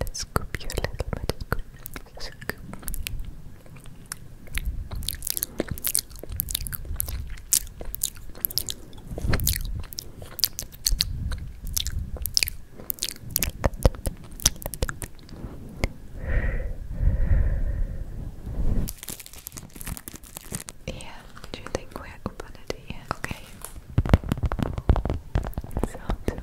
Let's scoop you a little bit. Yeah, do you think we're up on it? Yeah, okay. Sounds good.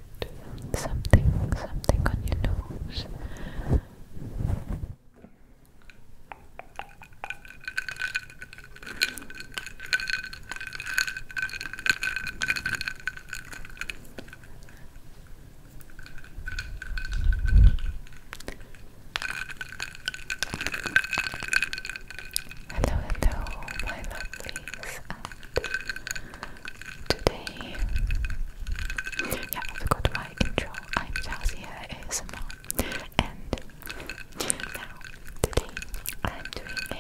something, something on your nose. Hello, hello, my lovelies, and today. Yeah, I forgot my intro. I'm Chelsea here And now, today, I'm doing a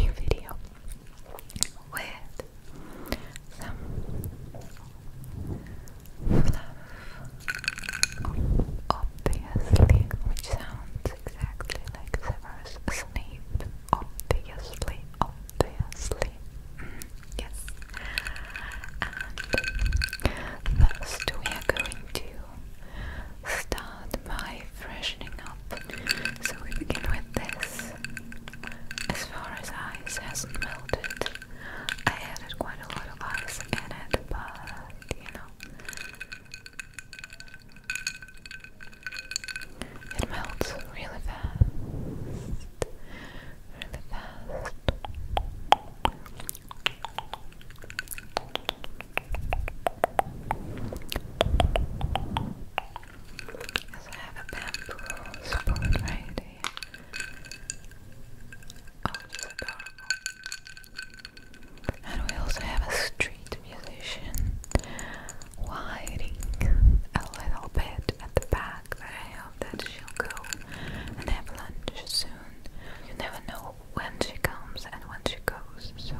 new video with some fluff, obviously, which sounds exactly like Severus Snape, obviously, obviously, mm, yes, first we are going to start by freshening up, so we begin with this, as far as ice hasn't melted, I added quite a lot of ice in it, but you know, it melts really fast, really fast. Yes, I have a bamboo support right here. Oh, it's adorable. And we also have a street musician whining a little bit at the back, I hope that she'll go and have lunch soon. You never know when she comes and when she goes, so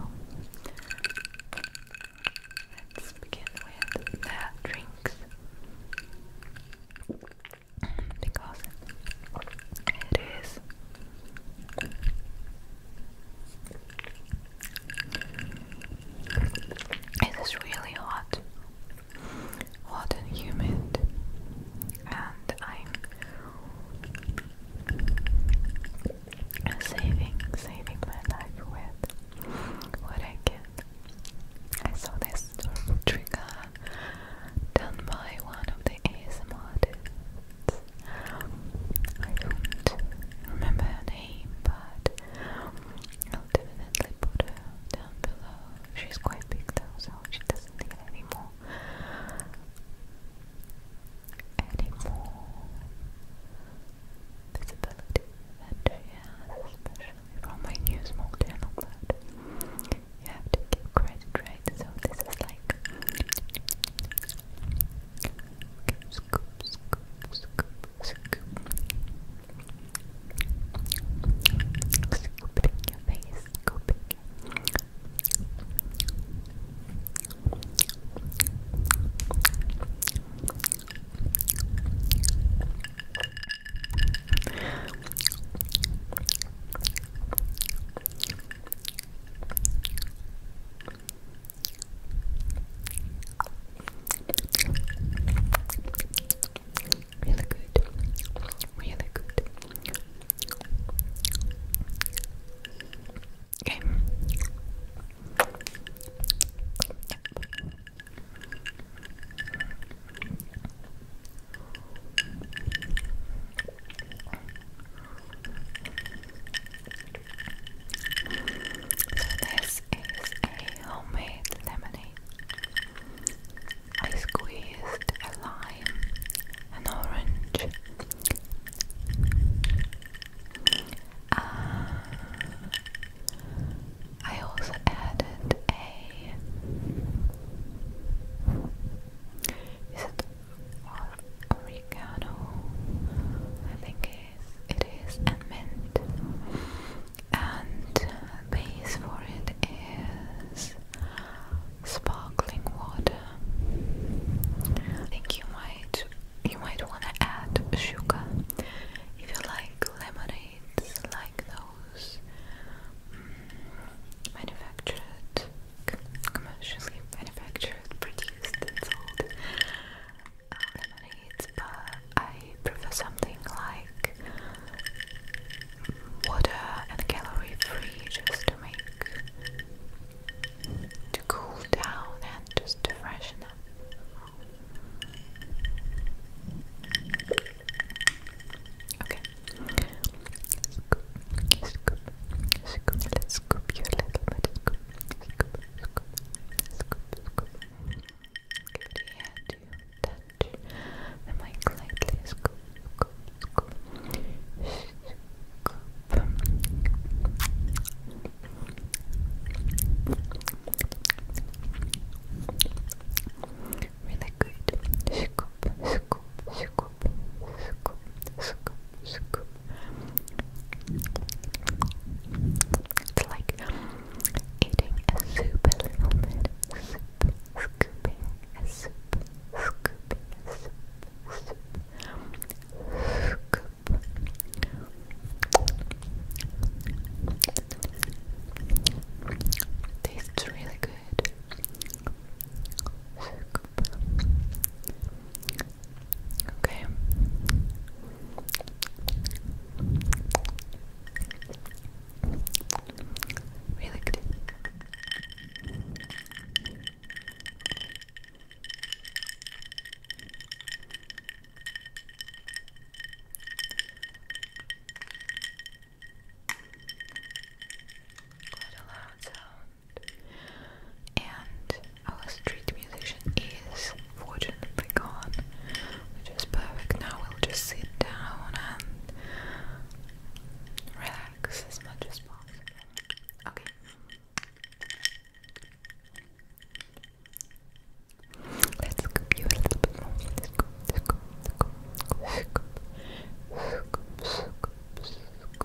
let's begin with the drinks because it is it is really hot hot and humid and I'm saving saving my life with what I get I saw this trigger done by one of the ASMR I don't remember her name, but I'll definitely put her down below. She's quite big though, so she doesn't need any more. Any more visibility that she especially from my new small channel. But you have to give credit, right? So this is like okay, scoop, scoop, scoop, scoop. Scooping your face, scooping. Really good. Really good. Okay this is a homemade lemonade. I squeezed a lime, an orange, uh, I also added a. Is it or oregano, I think is, it is, and mint. And uh, base for it is sparkling water. I think you might you might want to add sugar if you like lemonades like those mm, manufactured commercially manufactured, produced, and sold but I prefer something like water and calorie free just to make to cool down and just to freshen up. Okay. Scoop, scoop, scoop. Let's scoop you little bit. Scoop, scoop, scoop, scoop, scoop. Give it here touch the mic lightly. Scoop, scoop, scoop, scoop. Really good. Scoop, scoop, scoop, It's like eating a soup a little bit. Soup, scooping a soup, a soup, soup, scoop. Tastes really good. Okay. Really good. Quite a and our street musician is fortunately gone, which is perfect. Now we'll just sit down and relax as much as possible. Okay. Let's scoop you a little bit more. Scoop, scoop, scoop, scoop, scoop, scoop, scoop, scoop,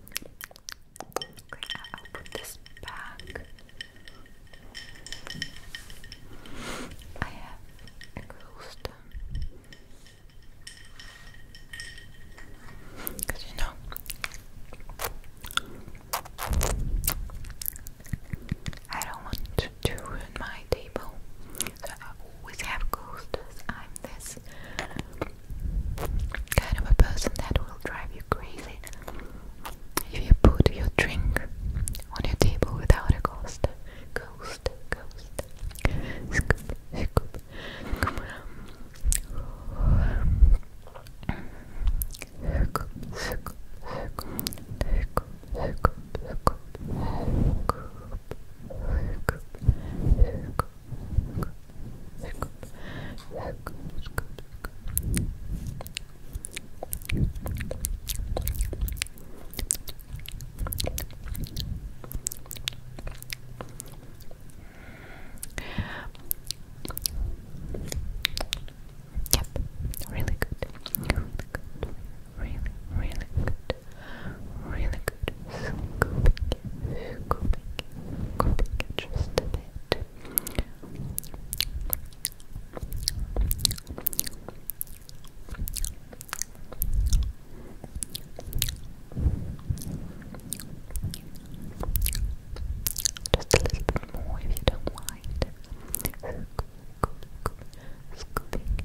Okay, I'll put this back. I have exhausted. you know, I don't want to ruin my table. So I always have coasters. I'm this kind of a person that will drive you crazy if you put your drink on your table without a ghost. Ghost, ghost. Scoop, scoop, scoop. Yep, really good. Really good. Really, really good really good. Scooping scooping scooping just a bit. Just a little bit more if you don't mind. Scoop, scoop, scooping.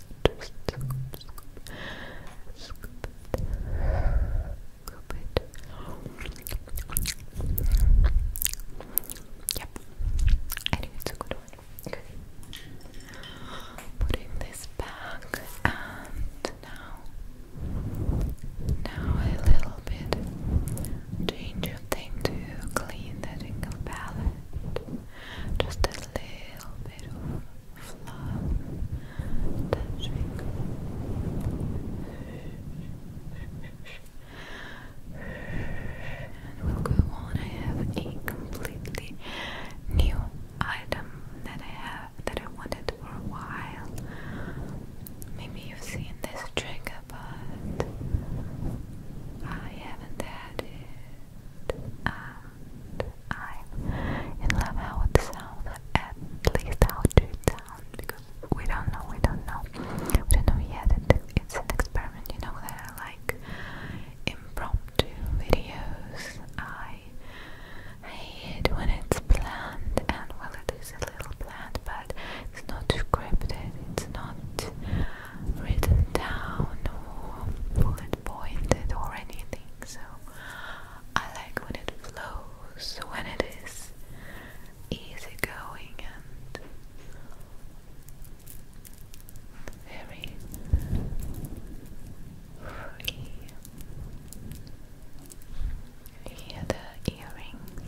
Just scoop, Yep, I think it's a good one. Putting this back, and now, now a little bit change your thing to clean the tingle palette. Just a little bit of fluff touching and we'll go on. I have a completely new item that I have that I wanted for a while. Maybe you've seen this trigger, but I haven't had it. Um, i love how it sounds, at least how to sound we don't know, we don't know, we don't know yet. it's an experiment, you know that like impromptu videos. I hate when it's planned, and well, it is a little planned, but it's not scripted. It's not written down or bullet pointed or anything. So I like when it flows, when it is easygoing and very free. Here the earrings.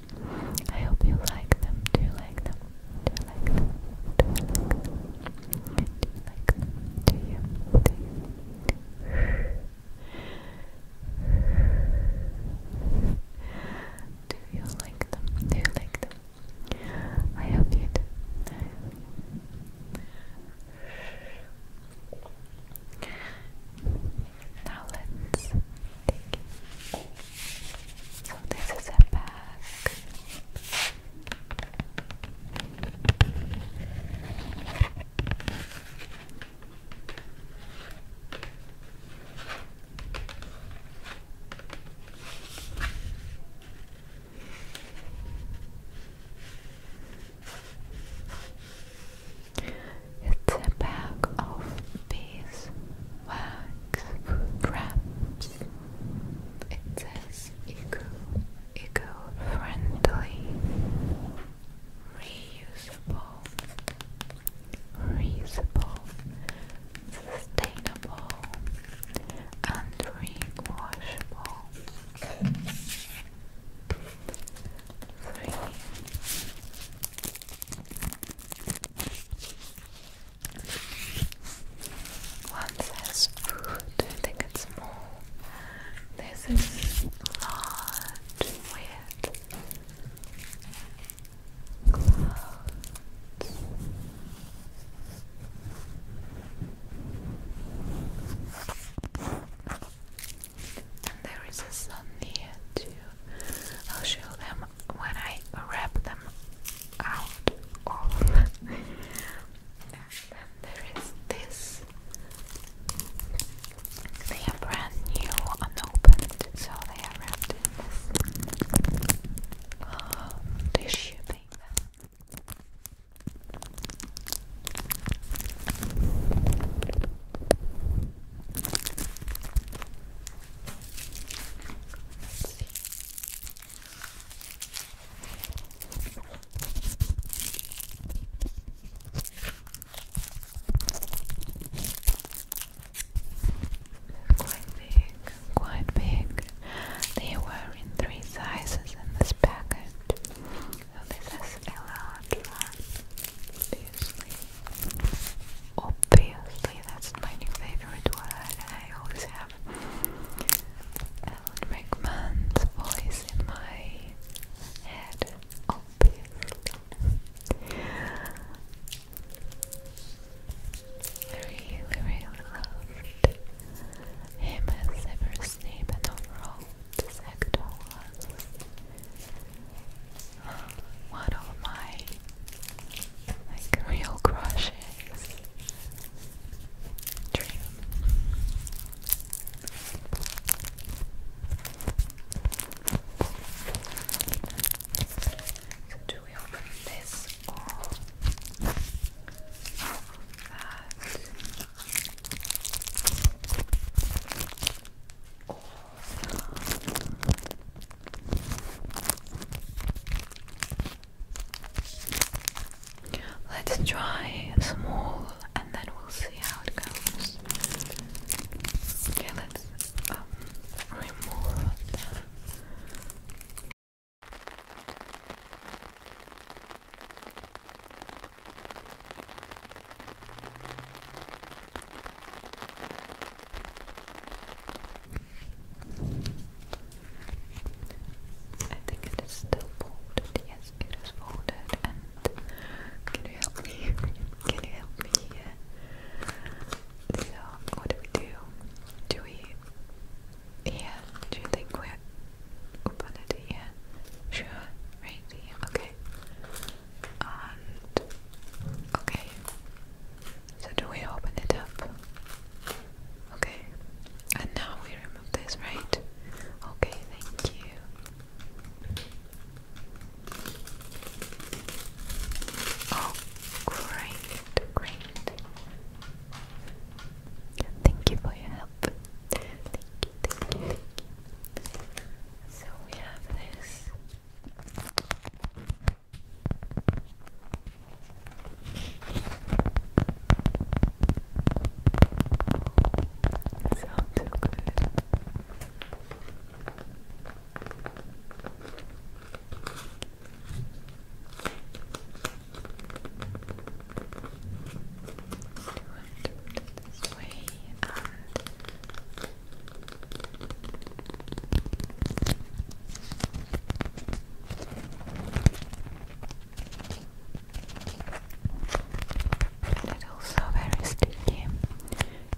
I hope you like them. Do you like them? Do you like them? Do you like them? Do you Do you? like them? Do you like them? I hope you do. Now let's take So this is a bag. It's a bag of beeswax wraps. It eco, eco-friendly, reusable, reusable, sustainable, and rewashable. Three. One says food, I think it's small. This is large, weird. Clouds. And there is a sun here too. I'll show them when I wrap them out of then there is this they are brand new unopened so they are wrapped in this um, tissue paper they're quite big, quite big. They were in three sizes in this package. this is a large one obviously. Obviously, that's my new favorite I always have. Alan Rickman's voice in my head, obviously. I really, really loved him as Severus Snape and overall this actor was one of my like real crushes dream. we open this or that? Let's try small and then we'll see how it goes. Okay, let's um, remove that. I think it is still folded. Yes, it is folded. can you help me? Can you help me do we do? we here? Do you think we open it here? Sure, right Okay okay. So do we open it up? Okay. And now we remove this, right? Okay, thank you. Oh, great, great. Thank you for your help. thank you, thank you. So we have this. Sounds so good. Do it this way and it's also very sticky.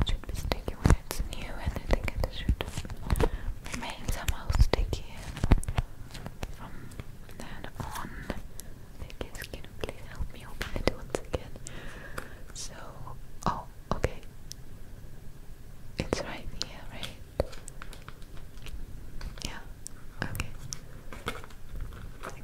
should be sticky when it's new, and I think should remain somehow sticky from then on. Think it's please help me open it once again. So, oh, okay. It's right here, right? Yeah, okay. Okay,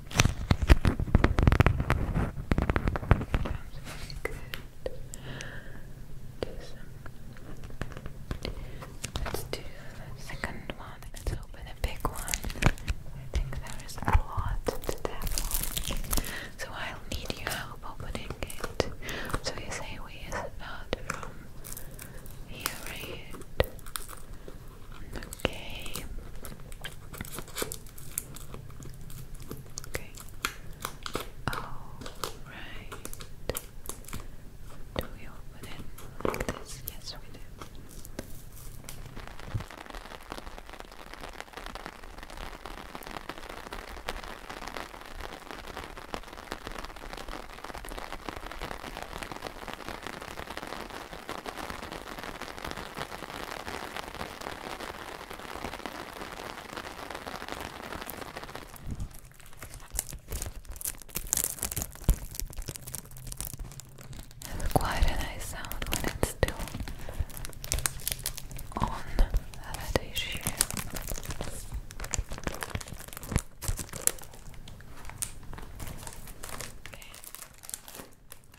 Let's do second one. Let's open a big one. I think there is a lot to that one. So I'll need your help opening it. So you say we is about from here right Okay. Okay. All right. Do we open it Yes, we do. It's quite a nice sound when it's still on that issue.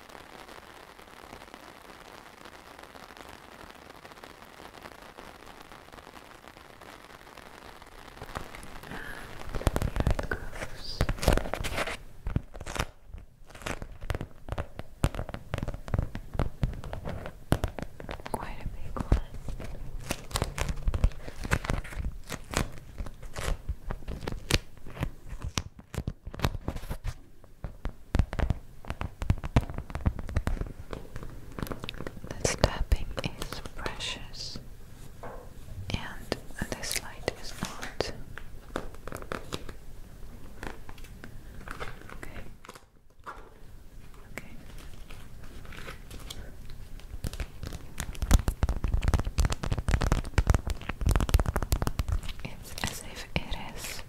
And here it goes. Quite a big one. This tapping is precious, and this light is not. Okay. Okay as if it is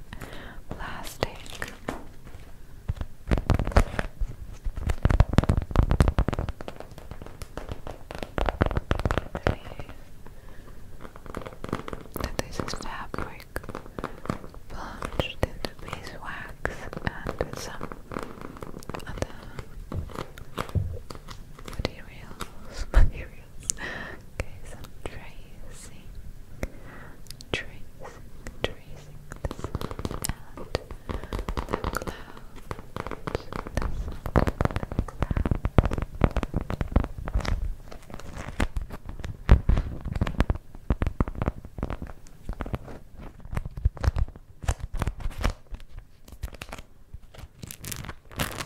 plastic. That this is fabric plunged into beeswax and some other materials. trace. Okay, so tracing, tracing, tracing the sun and the clouds. The sun and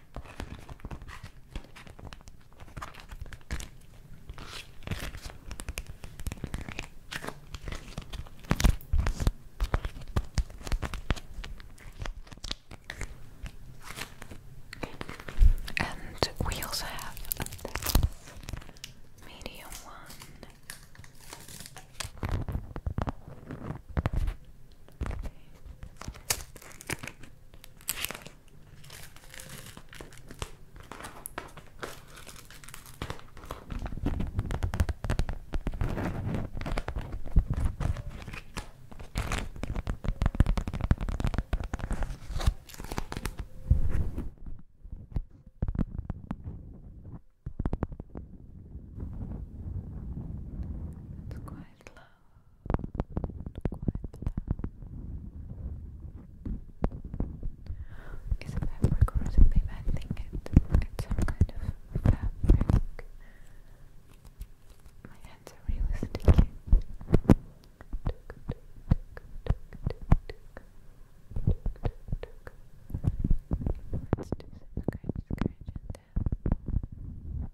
And we also have this medium one. It's quite loud. It's a fabric or something, I think it, it's some kind of fabric. My hands are really sticky.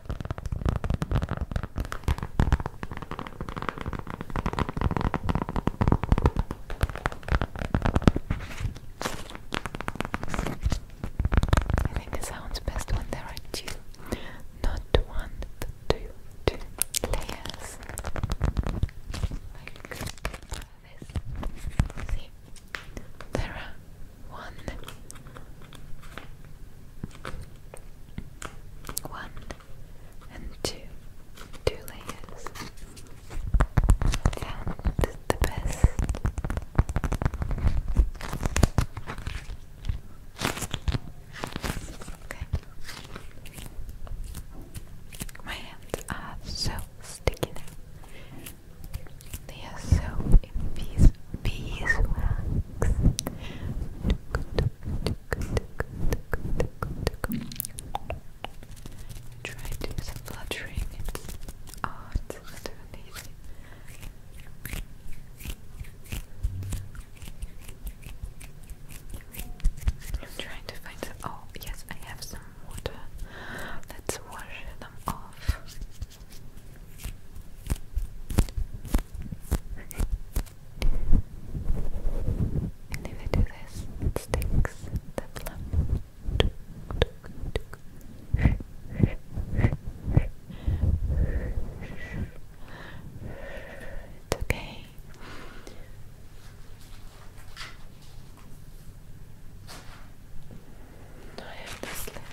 I think it sounds best when there are two, not one, layers. there are one one and two, two layers, and the best. Okay. My hands are so sticky now. They are so in Try to do some fluttering. Oh, it's not I'm trying to find some. Oh, yes, I have some water. Let's wash them off. And if I do this, it sticks the okay. I have this little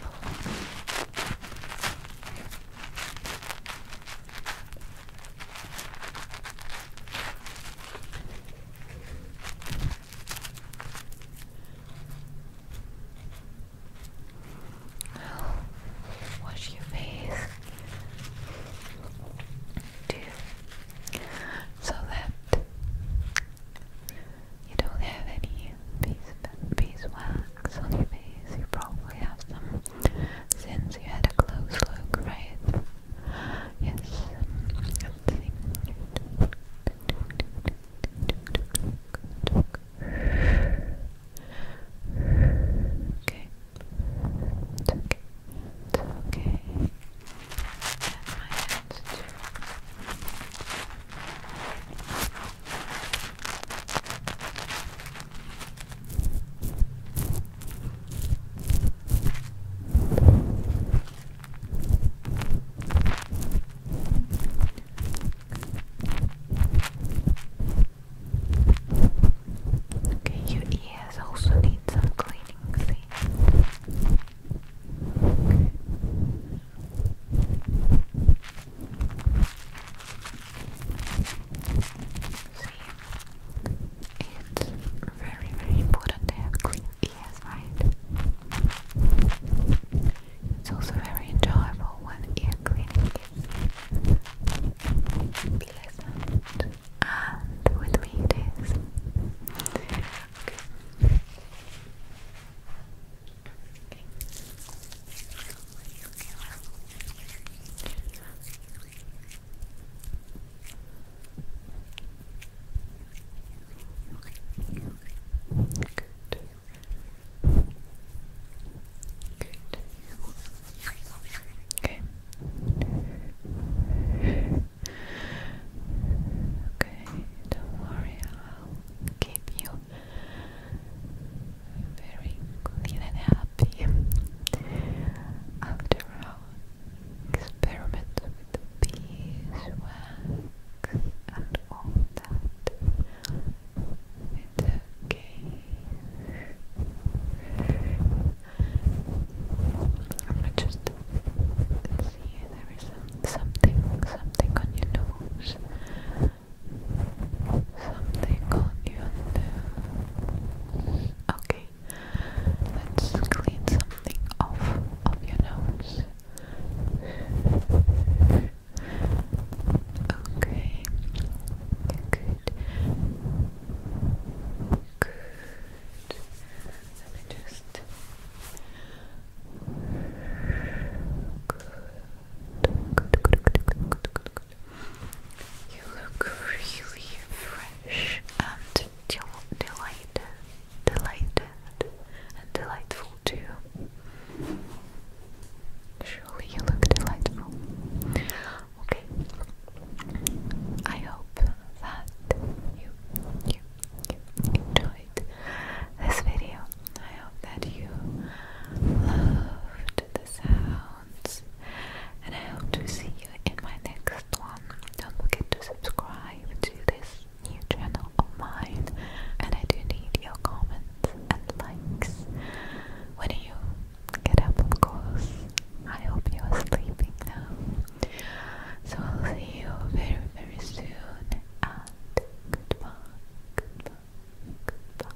now, wash your face too, so that you don't have any bees beeswax on your face. You probably have some since you had a close look, right? Yes. Okay. okay. okay. my hands too. Okay, your ears also need some cleaning, see? See, it's very, very important to have clean ears, right? It's also very enjoyable when ear cleaning is pleasant and with me it is. Okay. Okay, don't worry, I'll keep you very clean and happy after our experiment with the beeswax and all that. It's okay. I'm going just see there is some, something, something on your nose. Something on your nose. Okay, let's clean something off of your nose. Okay, good. Good. Let me just. You look really fresh and delighted, delighted, and delightful too. Surely you look delightful. Okay. I hope that you, you, you enjoyed this video. I hope that you loved the sound and I hope to see you in my next one. Don't forget to subscribe to this new channel of mine and I do need your comments and likes. When you get up of course, I hope you are sleeping now. So I'll see you very very soon and goodbye, goodbye, goodbye.